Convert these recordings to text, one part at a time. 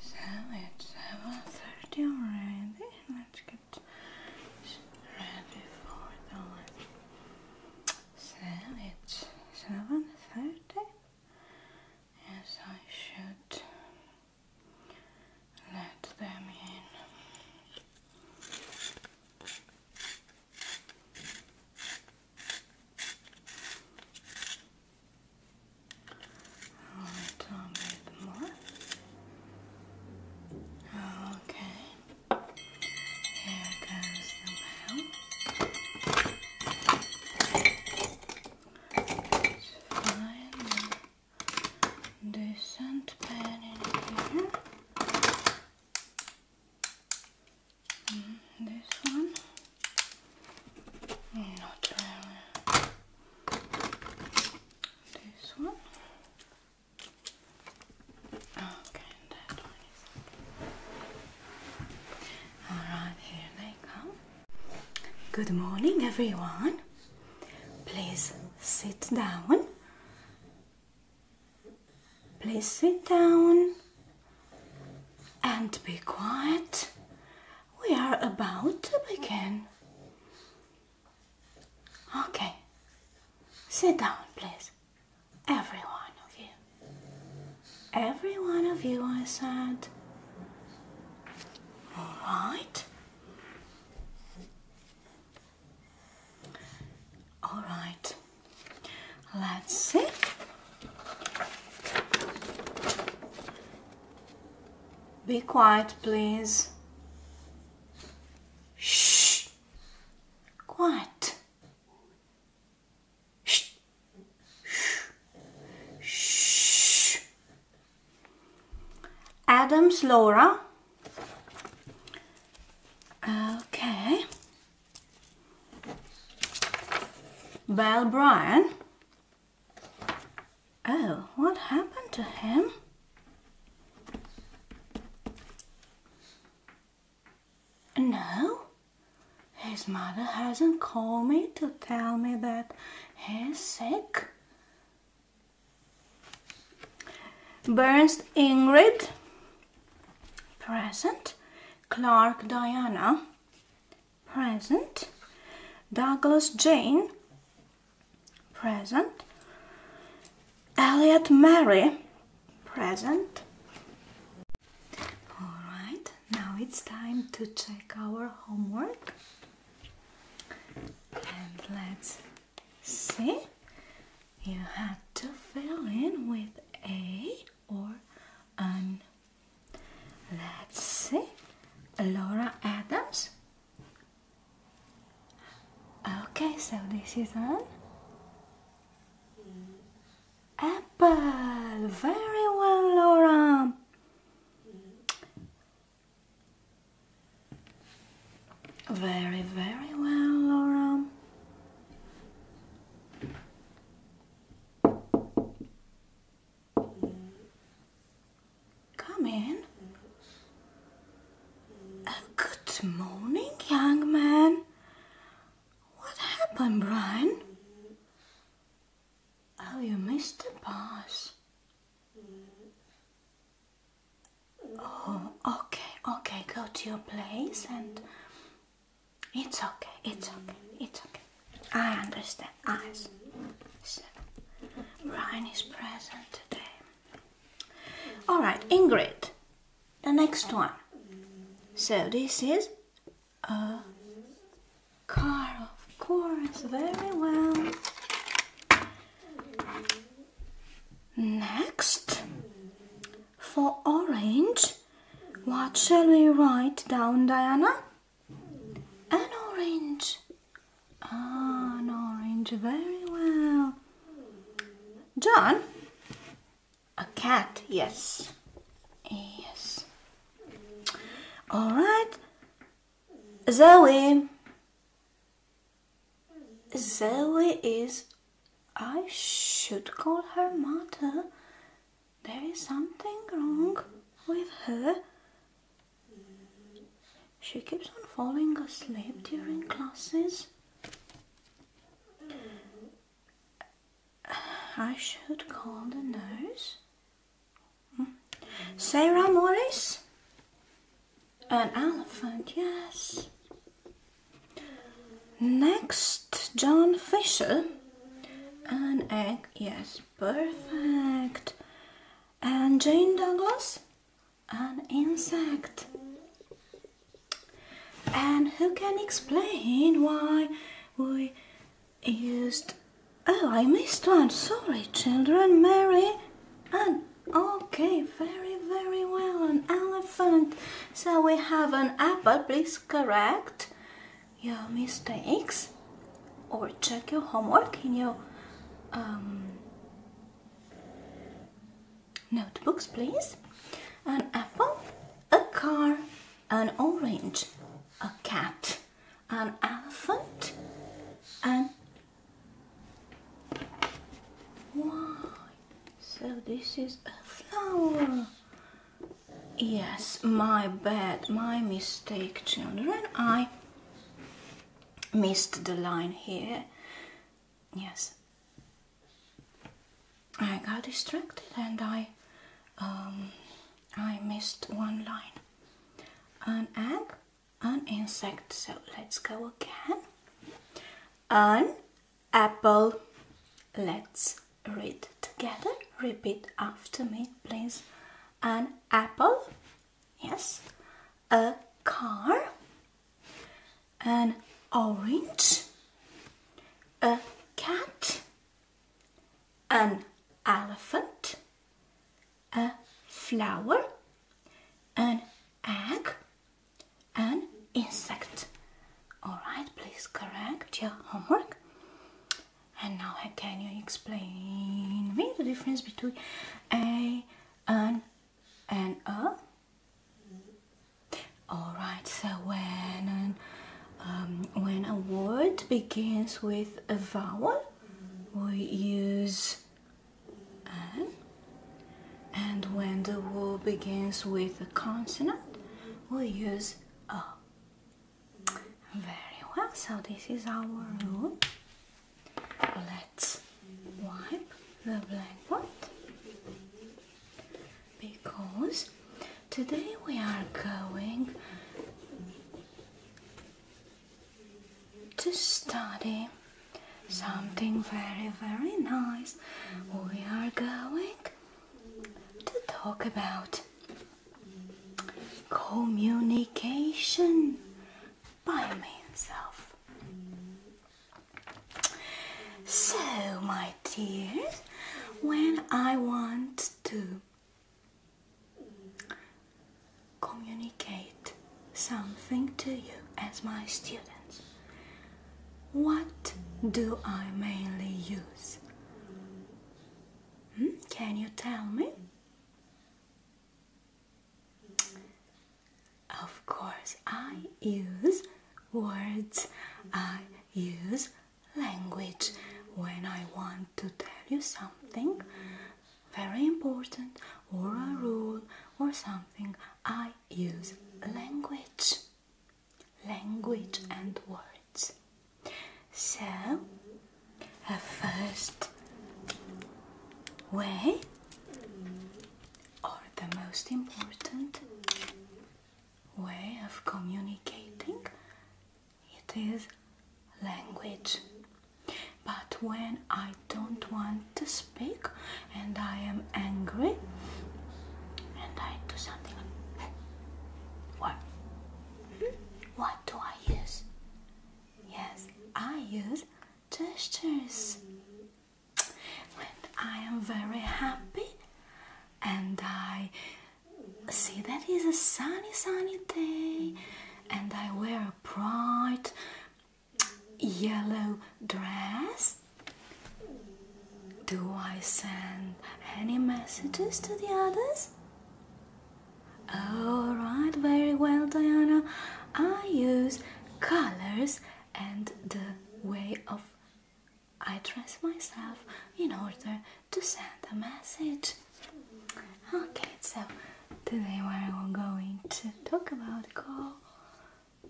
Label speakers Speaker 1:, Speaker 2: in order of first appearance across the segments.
Speaker 1: So it's 7.30 already. Let's get ready for the So it's 7.30. Yes, I should let them in. I'll get more. Okay. Here goes the bell. find a decent pen in here. Mm, this one. Not this one. Okay, that one Alright, here they come. Good morning, everyone. Please sit down. Please sit down and be quiet we are about to begin. Okay, sit down, please. Every one of you. Every one of you, I said. All right. All right. Let's see. Be quiet, please. Shh. Quiet. Shh. Shh. Shh. Adams Laura. Okay. Belle Bryan. Oh, what happened to him? No, his mother hasn't called me to tell me that he's sick. Burns Ingrid, present. Clark Diana, present. Douglas Jane, present. Elliot Mary, present. Alright, now it's time to check our homework. And let's see. You had to fill in with a or an Let's see. Laura Adams. Okay, so this is an apple. Very well, Laura. Very, very well, Laura. Come in. good morning, young man. What happened, Brian? Oh, you missed the bus. Oh, okay, okay. Go to your place and... It's okay, it's okay, it's okay. I understand. Eyes. So, Ryan is present today. All right, Ingrid. The next one. So this is a car, of course. Very well. Next, for orange, what shall we write down, Diana? An orange. Ah, an orange. Very well. John? A cat, yes. Yes. All right. Zoe. Zoe is... I should call her mother. There is something wrong with her. She keeps on falling asleep during classes. I should call the nurse. Hmm. Sarah Morris? An elephant, yes. Next, John Fisher. An egg, yes. Perfect. And Jane Douglas? An insect. And who can explain why we used... Oh, I missed one. Sorry, children. Mary and... Okay, very, very well. An elephant. So we have an apple. Please correct your mistakes or check your homework in your um, notebooks please an apple a car an orange a cat an elephant and so this is a flower Yes, my bad, my mistake, children. I missed the line here. Yes. I got distracted and I um, I missed one line. An egg, an insect. So let's go again. An apple. Let's read together. Repeat after me, please an apple, yes, a car, an orange, a cat, an elephant, a flower, an egg, an insect. Alright, please correct your homework. And now can you explain me the difference between a and and a? Alright, so when um, when a word begins with a vowel, we use an. And when the word begins with a consonant, we use a. Very well, so this is our room. Let's wipe the blackboard because today we are going to study something very, very nice. We are going to talk about communication by means So, my dear, when I want to communicate something to you as my students, what do I mainly use? Hmm? Can you tell me? Of course, I use words, I use language when I want to tell you something very important or a rule or something. I use language, language and words. So, a first way, or the most important way of communicating, it is language. But when I don't want to speak and I am angry and I do something, what? What? do I use? Yes, I use gestures. When I am very happy and I see that it's a sunny, sunny day, and I wear a bright yellow dress. Do I send any messages to the others? All right, very well, Diana. I use colors and the way of I dress myself in order to send a message. Okay, so today we're going to talk about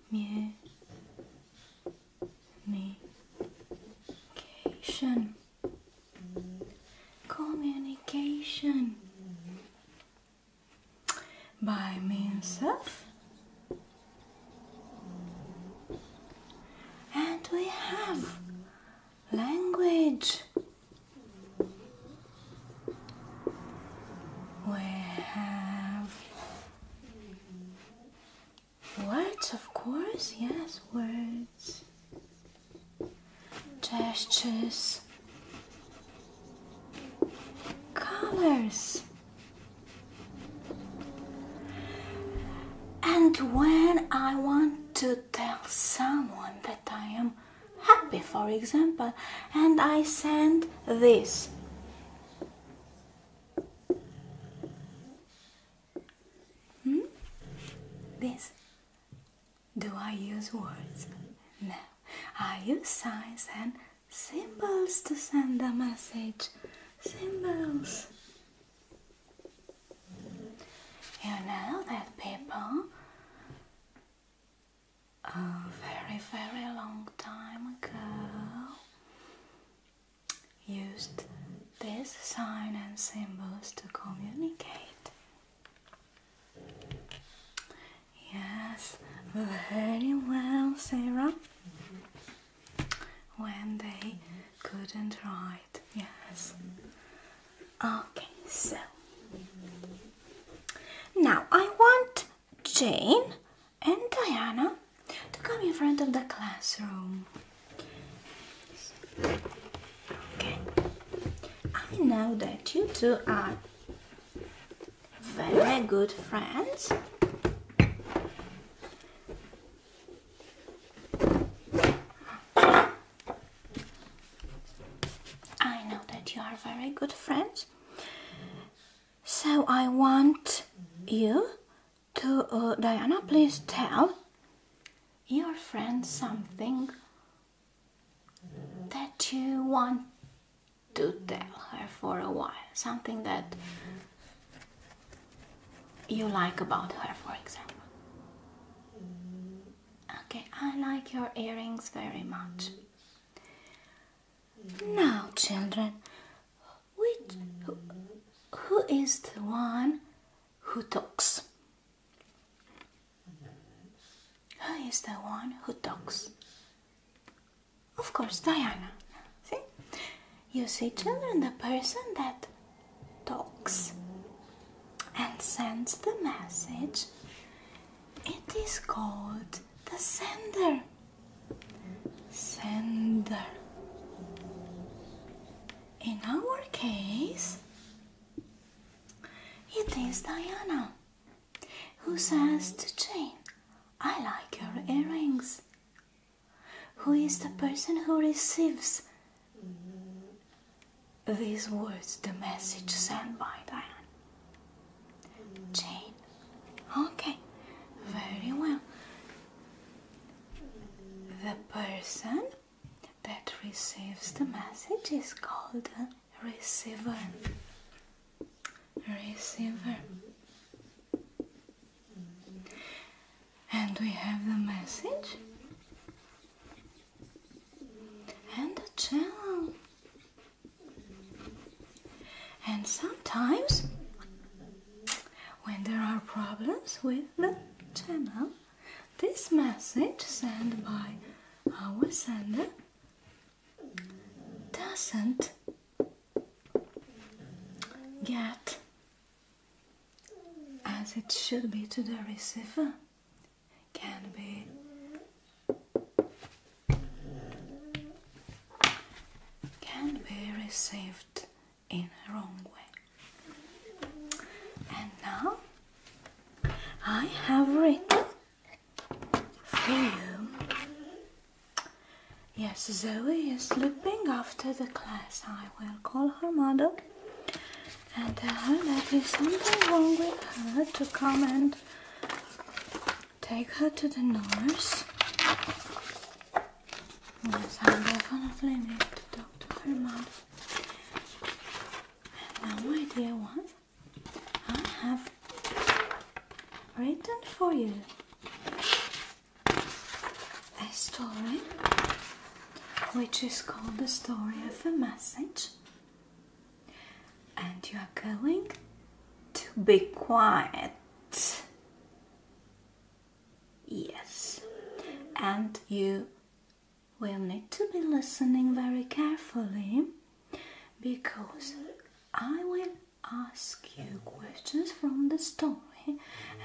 Speaker 1: communication communication by means of and we have language we have words of course yes words gestures, colors. And when I want to tell someone that I am happy, for example, and I send this. Hmm? This do I use words? No. I use signs and symbols to send a message. Symbols. You know that people a very, very long time ago used this sign and symbols to communicate. Yes, very well, Sarah. When they couldn't write, yes. Okay, so now I want Jane and Diana to come in front of the classroom. Okay. I know that you two are very good friends. I know that you are very good friends. So I want you to, uh, Diana, please tell your friend something that you want to tell her for a while, something that you like about her, for example. Okay, I like your earrings very much. Now, children, which, who is the one who talks? Who is the one who talks? Of course, Diana. See? You see, children, the person that talks and sends the message, it is called the sender. Sender. In our case, it is Diana, who says to Jane, I like your earrings. Who is the person who receives these words, the message sent by Diana? Jane. Okay, very well. The person that receives the message is called a receiver. Receiver. And we have the message and the channel. And sometimes, when there are problems with the channel, this message sent by our sender doesn't get as it should be to the receiver. Can be can be received in a wrong way. And now I have written for you. Yes, Zoe is sleeping after the class. I will call her mother and tell her that there's something wrong with her to come and take her to the nurse. I definitely need to talk to her mom. And now, my dear one, I have written for you a story which is called The Story of a Message, and you are going to be quiet. Yes, and you we'll need to be listening very carefully because I will ask you questions from the story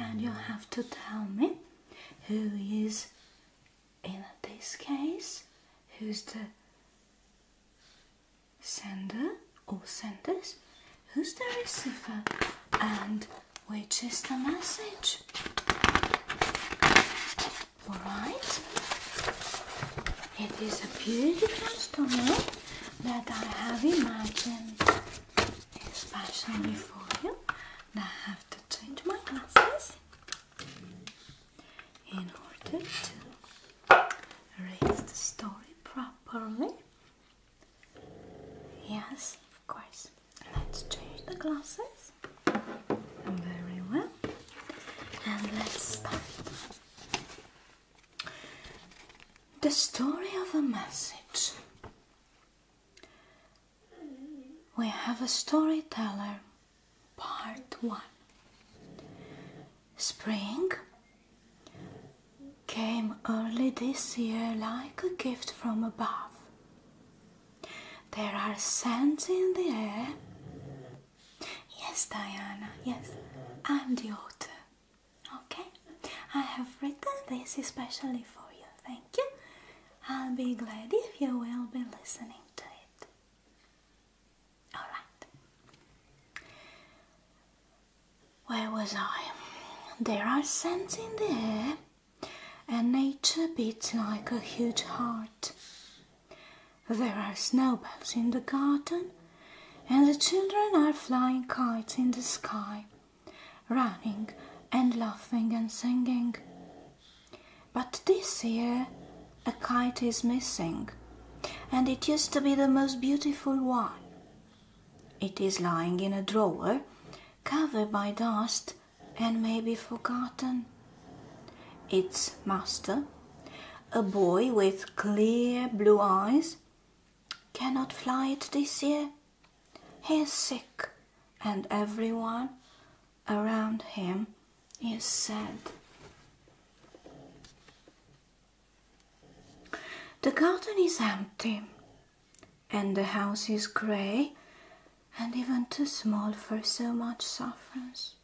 Speaker 1: and you have to tell me who is in this case who's the sender or senders who's the receiver and which is the message. Alright? It is a beautiful story that I have imagined especially for you. I have to change my glasses in order to read the story properly. Yes, of course. Let's change the glasses. Very well. And let's start. The story of a message. We have a storyteller, part one. Spring came early this year like a gift from above. There are scents in the air. Yes, Diana, yes, I'm the author. Okay? I have written this especially for you. Thank you. I'll be glad if you will be listening to it. Alright. Where was I? There are scents in the air and nature beats like a huge heart. There are snowballs in the garden, and the children are flying kites in the sky, running and laughing and singing. But this year, a kite is missing, and it used to be the most beautiful one. It is lying in a drawer, covered by dust and maybe forgotten its master, a boy with clear blue eyes, cannot fly it this year. He is sick, and everyone around him is sad. The garden is empty, and the house is grey and even too small for so much sufferance.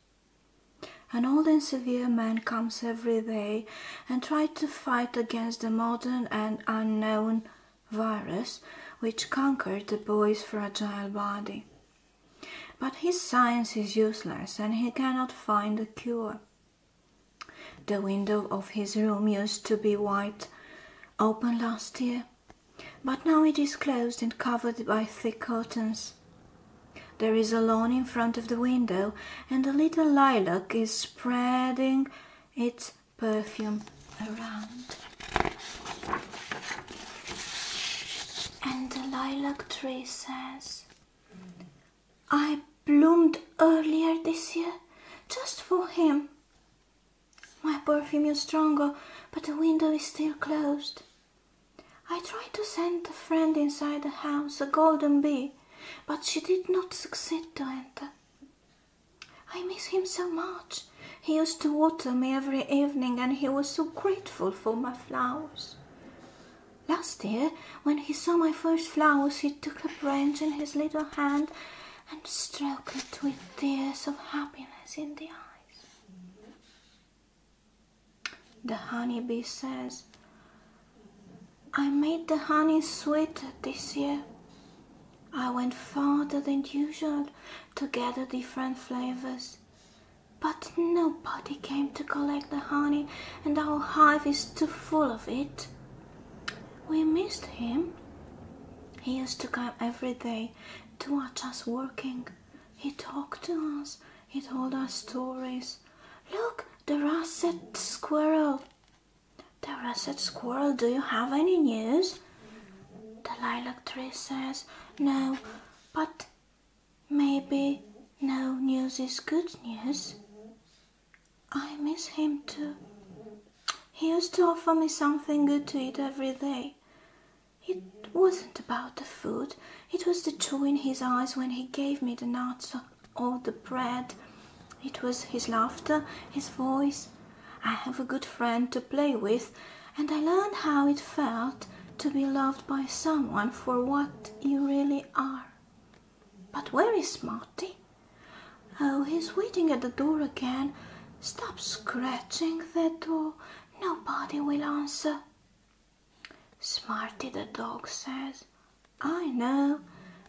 Speaker 1: An old and severe man comes every day and tries to fight against the modern and unknown virus which conquered the boy's fragile body. But his science is useless and he cannot find a cure. The window of his room used to be wide open last year, but now it is closed and covered by thick curtains. There is a lawn in front of the window, and a little lilac is spreading its perfume around. And the lilac tree says, I bloomed earlier this year just for him. My perfume is stronger, but the window is still closed. I tried to send a friend inside the house, a golden bee, but she did not succeed to enter. I miss him so much. He used to water me every evening and he was so grateful for my flowers. Last year, when he saw my first flowers, he took a branch in his little hand and stroked it with tears of happiness in the eyes. The honeybee says, I made the honey sweet this year. I went farther than usual to gather different flavors. But nobody came to collect the honey and our hive is too full of it. We missed him. He used to come every day to watch us working. He talked to us, he told us stories. Look, the russet squirrel. The russet squirrel, do you have any news? The lilac tree says, no, but maybe no news is good news. I miss him too. He used to offer me something good to eat every day. It wasn't about the food, it was the joy in his eyes when he gave me the nuts or the bread. It was his laughter, his voice. I have a good friend to play with, and I learned how it felt to be loved by someone for what you really are. But where is Marty? Oh, he's waiting at the door again. Stop scratching the door. Nobody will answer. Smarty the dog says, I know,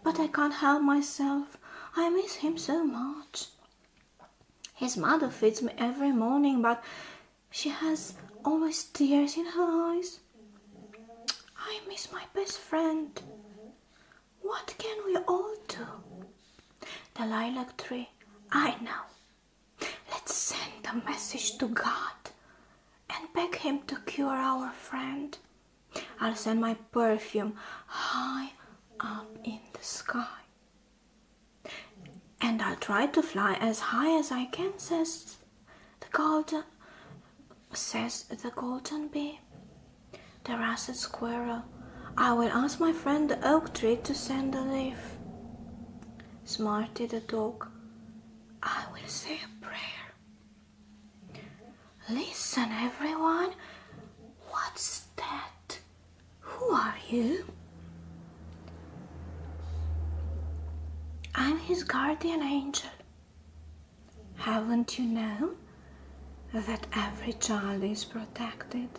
Speaker 1: but I can't help myself. I miss him so much. His mother feeds me every morning, but she has always tears in her eyes. I miss my best friend. What can we all do? The lilac tree I know. Let's send a message to God and beg Him to cure our friend. I'll send my perfume high up in the sky. And I'll try to fly as high as I can, says the golden says the golden bee. The russet squirrel I will ask my friend the oak tree to send a leaf. Smarty the dog, I will say a prayer. Listen, everyone, what's that? Who are you? I'm his guardian angel. Haven't you known that every child is protected?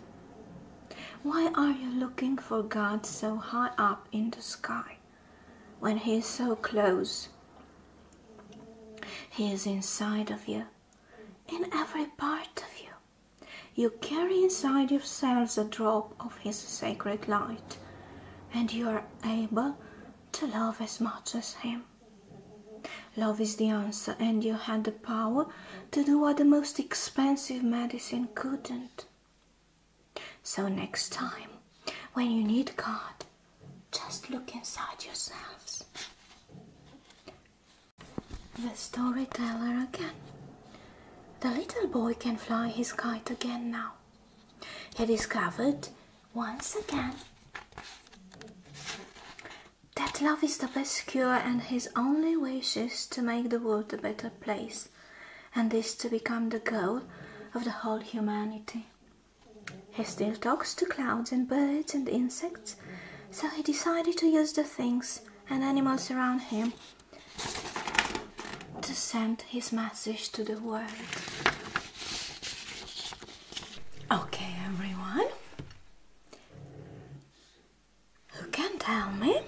Speaker 1: Why are you looking for God so high up in the sky when He is so close? He is inside of you, in every part of you. You carry inside yourselves a drop of His sacred light, and you are able to love as much as Him. Love is the answer, and you had the power to do what the most expensive medicine couldn't. So, next time, when you need God, just look inside yourselves. The storyteller again. The little boy can fly his kite again now. He discovered once again that love is the best cure and his only wish is to make the world a better place and is to become the goal of the whole humanity. He still talks to clouds and birds and insects, so he decided to use the things and animals around him to send his message to the world. Okay, everyone. Who can tell me?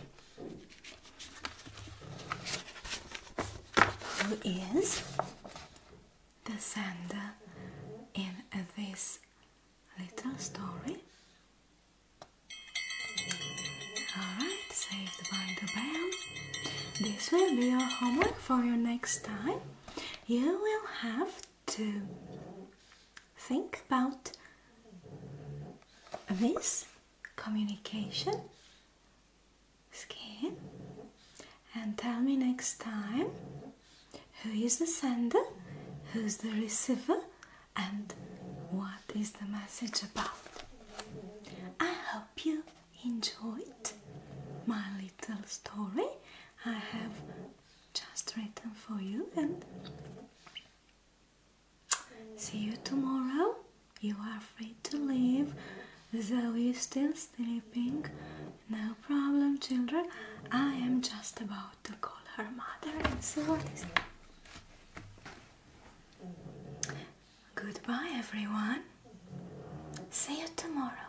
Speaker 1: Who is the sender in this little story? Alright, saved by the bell. This will be your homework for your next time. You will have to think about this communication skin and tell me next time who is the sender who's the receiver and what is the message about i hope you enjoyed my little story i have just written for you and See you tomorrow. You are free to leave. Zoe is still sleeping. No problem, children. I am just about to call her mother and see what is. Goodbye, everyone. See you tomorrow.